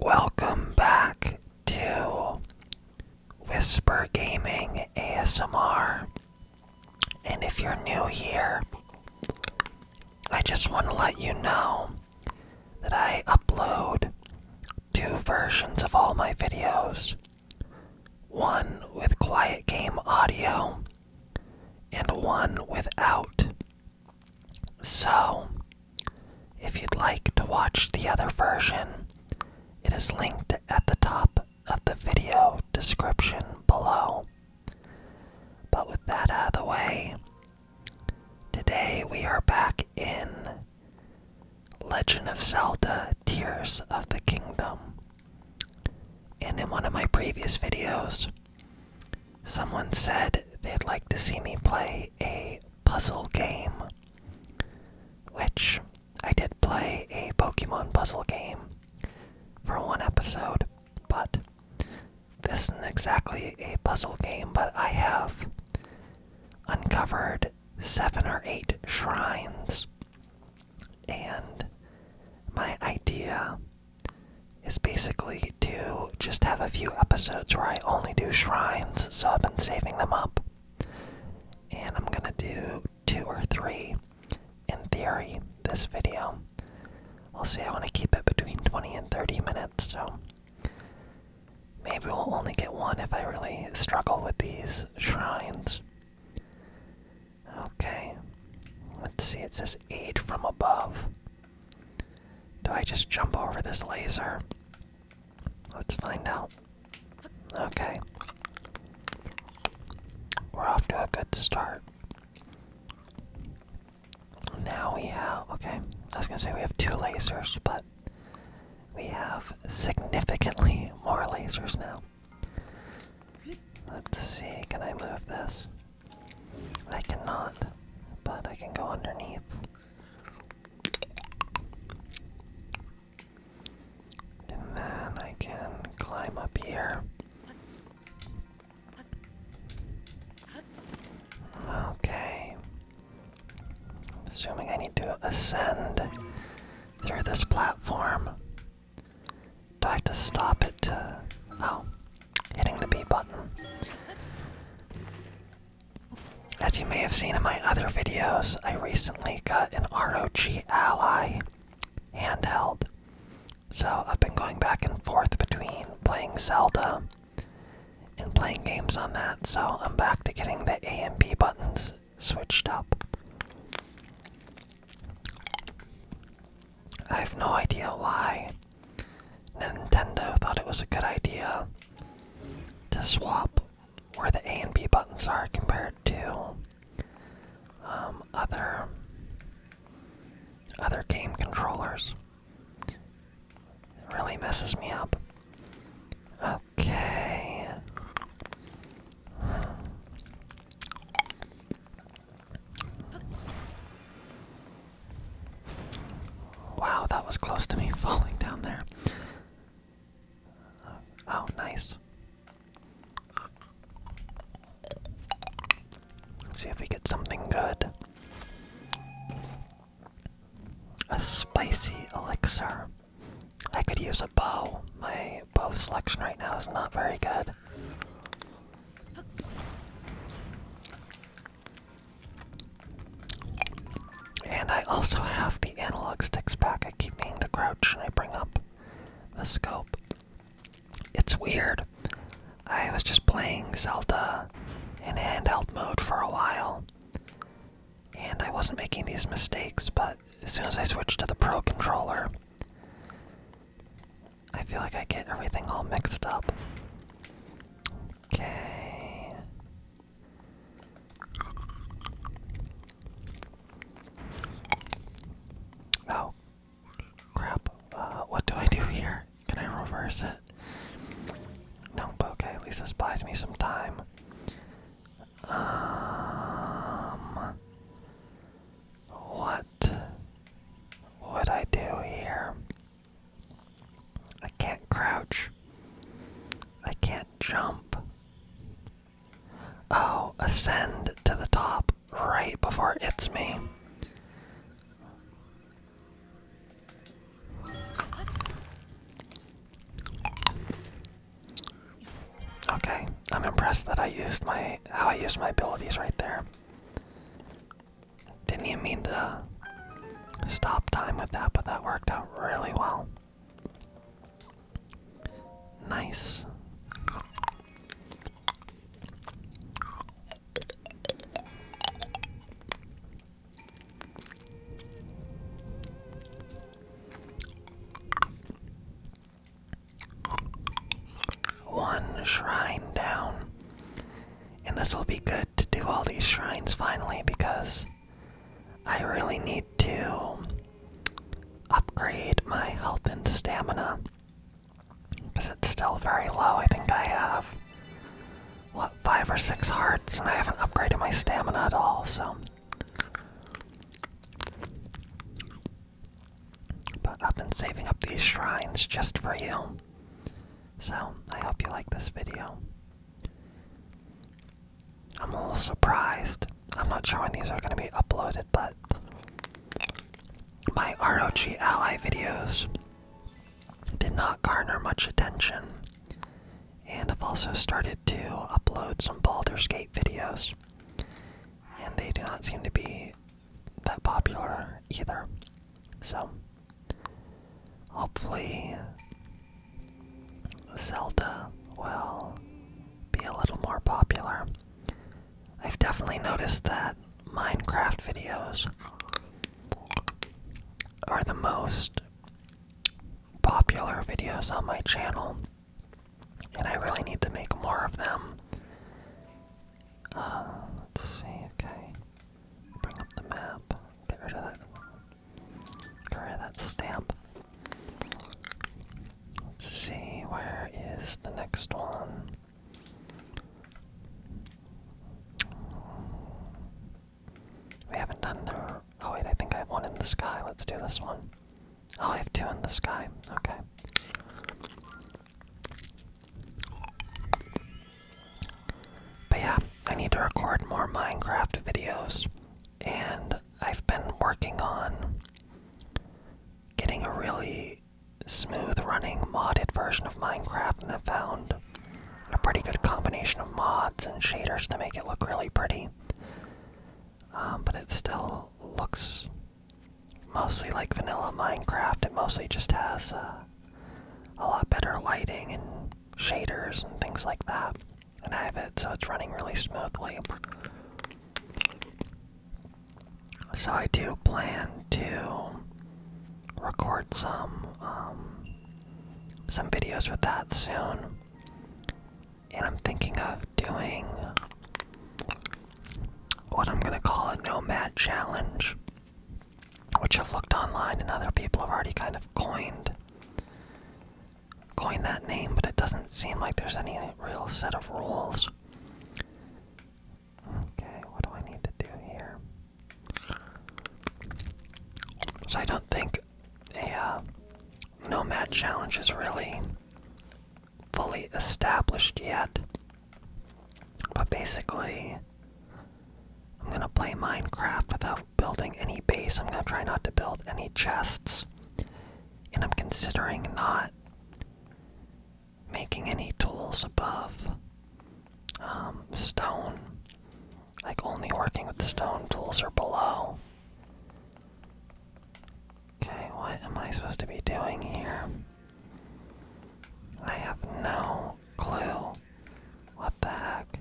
Welcome back to Whisper Gaming ASMR. And if you're new here, I just want to let you know that I upload two versions of all my videos one with quiet game audio and one without. So, if you'd like to watch the other version, it is linked at the top of the video description below. But with that out of the way, today we are back in Legend of Zelda Tears of the Kingdom. And in one of my previous videos, Someone said they'd like to see me play a puzzle game, which I did play a Pokemon puzzle game for one episode, but this isn't exactly a puzzle game, but I have uncovered seven or eight shrines, and my idea is basically to just have a few episodes where I only do shrines, so I've been saving them up. And I'm gonna do two or three in theory this video. I'll see. I want to keep it between 20 and 30 minutes, so maybe we'll only get one if I really struggle with these shrines. Okay, let's see, it says eight from above. Do I just jump over this laser? Let's find out. Okay. We're off to a good start. Now we have. Okay, I was gonna say we have two lasers, but we have significantly more lasers now. Let's see, can I move this? I cannot, but I can go underneath. And then I can climb up here. Okay. Assuming I need to ascend through this platform. Do I have to stop it Oh, hitting the B button. As you may have seen in my other videos, I recently got an ROG Ally handheld. So I've been going back and forth between playing Zelda and playing games on that, so I'm back to getting the A and B buttons switched up. I have no idea why Nintendo thought it was a good idea to swap where the A and B buttons are compared to um, other other game controllers. really messes me up. Okay. Wow, that was close to me falling down there. Oh, nice. see if we get something good. A spicy elixir. I could use a bow. My bow selection right now is not very good. And I also have the analog sticks back. I keep meaning to crouch and I bring up the scope. It's weird. I was just playing Zelda in handheld mode for a while. And I wasn't making these mistakes, but as soon as I switched to the Pro controller, I feel like I get everything all mixed up. Okay. Oh. Crap. Uh, what do I do here? Can I reverse it? No, okay, at least this buys me some time. Um. What what do I do here? I can't crouch. I can't jump. Oh, ascend to the top right before it's me. Okay, I'm impressed that I used my how I used my abilities right there. Didn't even mean to stop time with that, but that worked out really well. Nice. One shrine down. And this will be good to do all these shrines finally because I really need to upgrade my health and stamina. Because it's still very low. I think I have, what, five or six hearts, and I haven't upgraded my stamina at all, so. But I've been saving up these shrines just for you. So, I hope you like this video. I'm a little surprised. I'm not sure when these are going to be uploaded, but my ROG Ally videos did not garner much attention. And I've also started to upload some Baldur's Gate videos. And they do not seem to be that popular either. So, hopefully, Zelda will be a little more popular. I've definitely noticed that Minecraft videos are the most popular videos on my channel, and I really need to make more of them um, let's see, okay. Bring up the map. Get rid of that. Get rid of that stamp. Let's see, where is the next one? We haven't done the. Oh, wait, I think I have one in the sky. Let's do this one. Oh, I have two in the sky. Okay. But yeah, I need to record more Minecraft videos, and I've been working on getting a really smooth running modded version of Minecraft, and I found a pretty good combination of mods and shaders to make it look really pretty. Um, but it still looks mostly like vanilla Minecraft. It mostly just has uh, a lot better lighting and shaders and things like that. And I have it so it's running really smoothly. So I do plan to record some um, some videos with that soon. And I'm thinking of doing what I'm gonna call a nomad challenge, which I've looked online and other people have already kind of coined coined that name, but it doesn't seem like there's any real set of rules. Okay, what do I need to do here? So I don't think a uh, nomad challenge is really fully established yet. But basically, I'm gonna play Minecraft without building any base. I'm gonna try not to build any chests. And I'm considering not making any tools above um, stone. Like only working with stone tools or below. Okay, what am I supposed to be doing here? I have no clue. What the heck?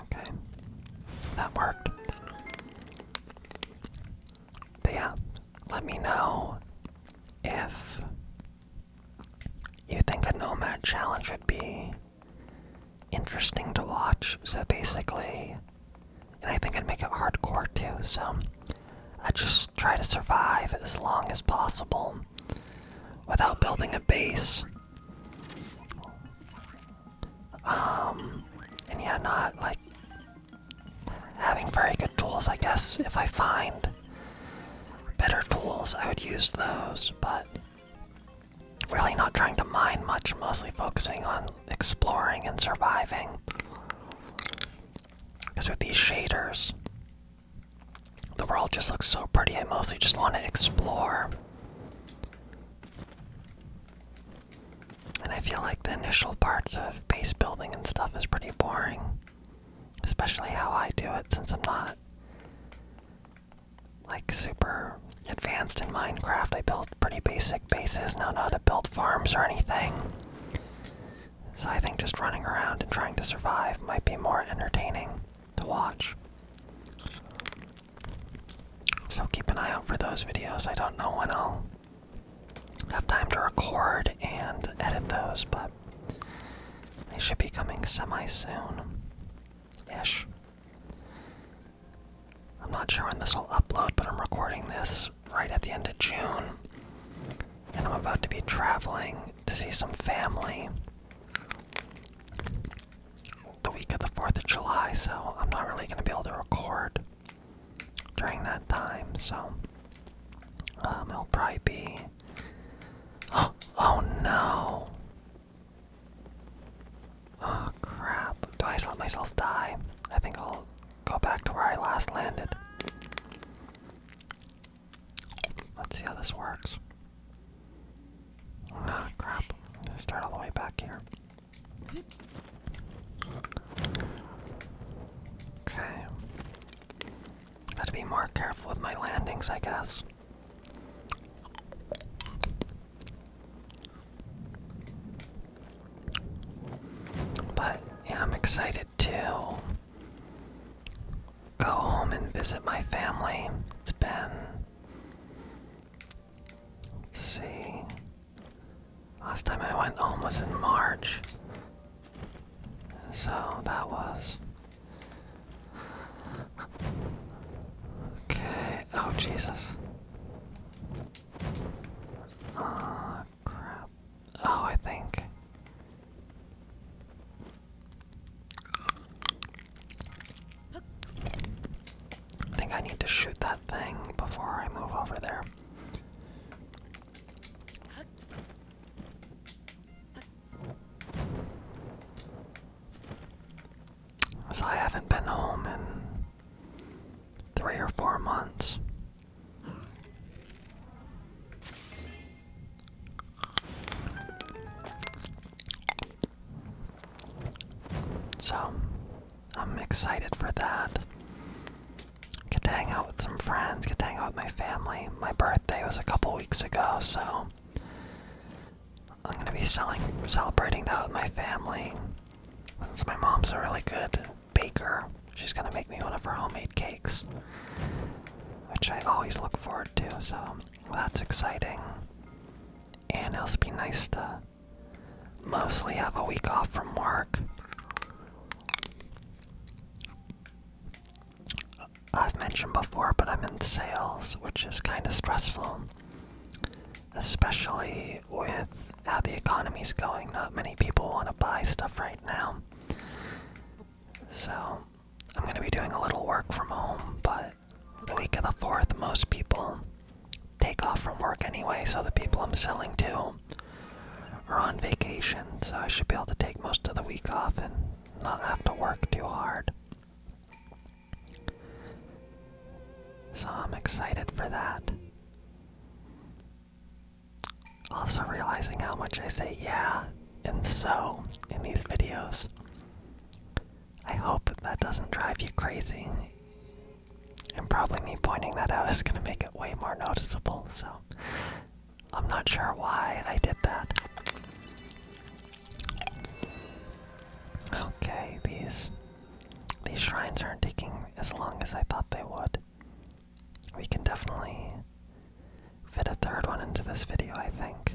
Okay. That worked. But yeah, let me know if you think a Nomad challenge would be interesting to watch. So basically, and I think I'd make it hardcore too, so I just try to survive as long as possible without building a base. Um, and yeah, not like having very good tools. I guess if I find better tools, I would use those, but really not trying to mine much, mostly focusing on exploring and surviving. Because with these shaders, the world just looks so pretty. I mostly just want to explore. And I feel like the initial parts of base building and stuff is pretty boring. Especially how I do it since I'm not like super advanced in Minecraft. I built pretty basic bases, now not to build farms or anything. So I think just running around and trying to survive might be more entertaining to watch. So keep an eye out for those videos. I don't know when I'll have time to record and edit those, but they should be coming semi soon. Ish. I'm not sure when this will upload, but I'm recording this right at the end of June. And I'm about to be traveling to see some family the week of the 4th of July, so I'm not really going to be able to record during that time, so um, it'll probably be. Oh, no! Oh crap. Do I let myself die? I think I'll go back to where I last landed. Let's see how this works. Ah, crap. start all the way back here. Okay. Gotta be more careful with my landings, I guess. But I'm excited to go home and visit my family. It's been see. Last time I went home was in March. So that was. Okay. Oh, Jesus. Oh, crap. Oh, I think. I think I need to shoot that thing before I move over there. So I haven't been home in three or four months. So, I'm excited for that. Get to hang out with some friends, get to hang out with my family. My birthday was a couple weeks ago, so I'm gonna be celebrating that with my family. Since my mom's a really good baker, she's gonna make me one of her homemade cakes, which I always look forward to. So that's exciting and it'll be nice to mostly have a week off from work. I've mentioned before, but I'm in sales, which is kind of stressful, especially with how the economy's going. Not many people want to buy stuff right now. So, I'm going to be doing a little work from home, but the week of the 4th, most people take off from work anyway, so the people I'm selling to are on vacation, so I should be able to take most of the week off and not have to work too hard. So I'm excited for that. Also, realizing how much I say yeah and so in these videos. I hope that, that doesn't drive you crazy. And probably me pointing that out is going to make it way more noticeable, so I'm not sure why I did that. Okay, these these shrines aren't taking as long as I thought they would. We can definitely fit a third one into this video, I think.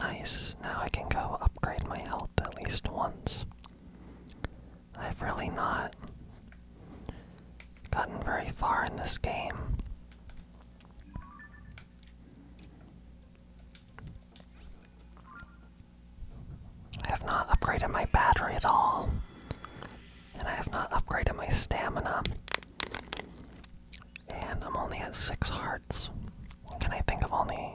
Nice, now I can go upgrade my health at least once. I've really not gotten very far in this game. I have not upgraded my battery at all, and I have not upgraded my stamina. And I'm only at six hearts. And I think of only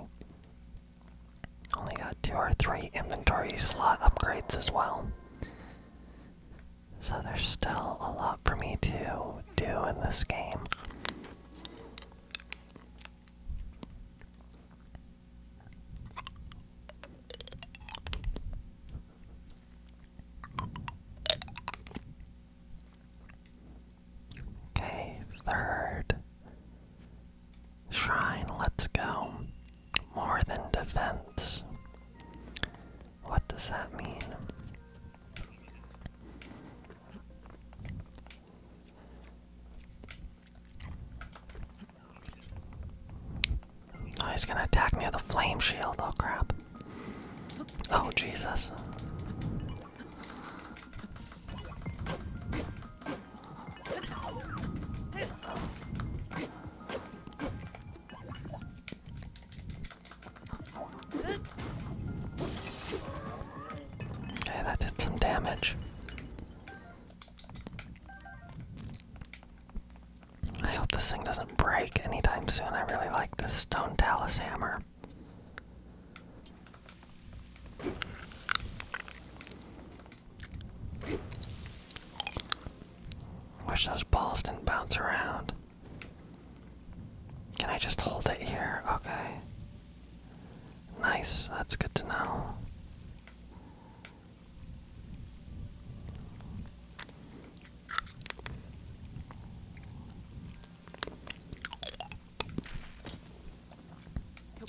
only got two or three inventory slot upgrades as well. So there's still a lot for me to do in this game. Okay, third shrine, let's go. More than defense. What does that mean? Oh, he's gonna attack me with a flame shield. Oh crap. Oh, Jesus. Okay, that did some damage. I hope this thing doesn't break anytime soon. I really like this Stone Talus hammer. Wish those balls didn't bounce around. Can I just hold it here? Okay. Nice, that's good to know.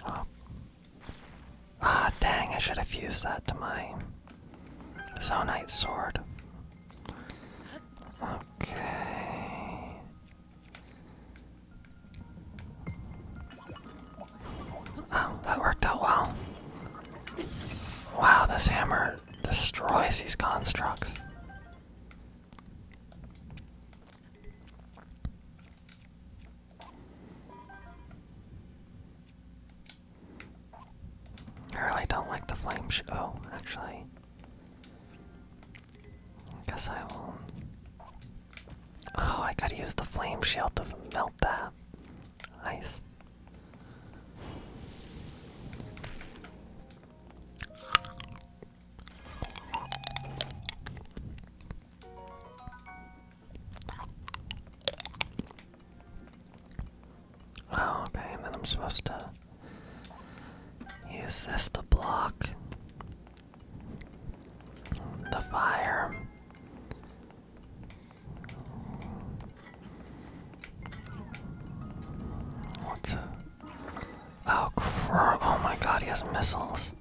Oh. Ah, dang, I should have fused that to my Zonite sword. Okay. Oh, that worked out well. Wow, this hammer Bart destroys these constructs. I really don't like the flame sh oh, actually. I guess I will Oh, I gotta use the flame shield to melt that. Nice. Oh, okay, and then I'm supposed to use this to block the fire. What's Oh, cro oh my god, he has missiles.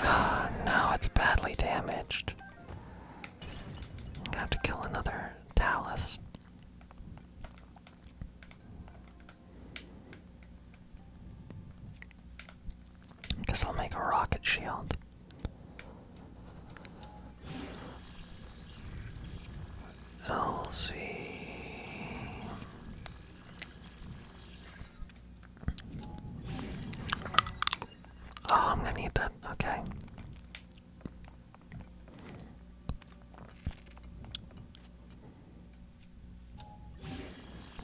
Ah, oh, it's badly damaged. I have to kill another Talus. I Guess I'll make a rocket shield. I'll see. Oh, I'm gonna need that. Okay.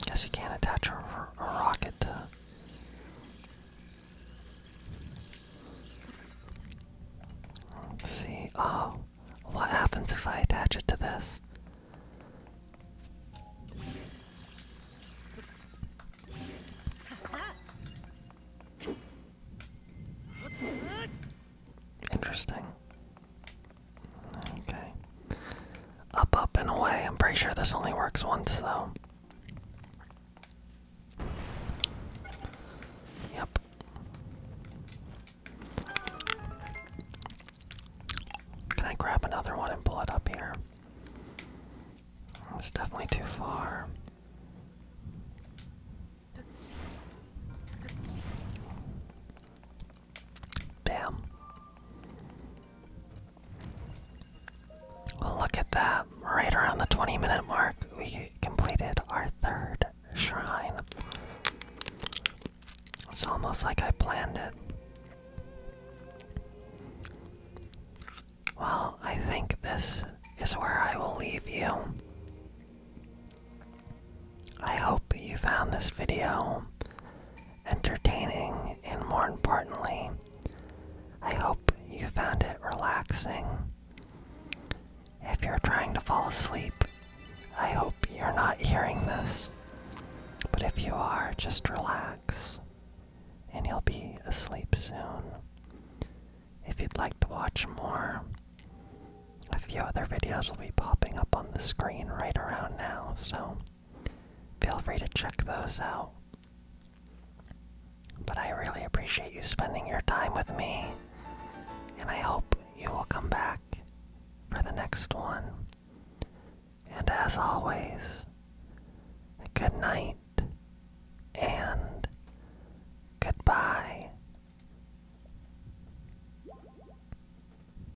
Guess you can't attach a, rocket to. see. Oh, what happens if I attach it to this? Interesting. Okay. Up, up, and away. I'm pretty sure this only works once, though. Yep. Can I grab another one and pull it up here? It's definitely too far. Damn. Well, look at that. Right around the 20 minute mark, we completed our third shrine. It's almost like I planned it. Well, I think this is where I will leave you. I hope you found this video entertaining, and more importantly, I hope you found it relaxing. If you're trying to fall asleep, I hope you're not hearing this. But if you are, just relax, and you'll be asleep soon. If you'd like to watch more, a few other videos will be popping up on the screen right around now, so Feel free to check those out. But I really appreciate you spending your time with me, and I hope you will come back for the next one. And as always, good night and goodbye.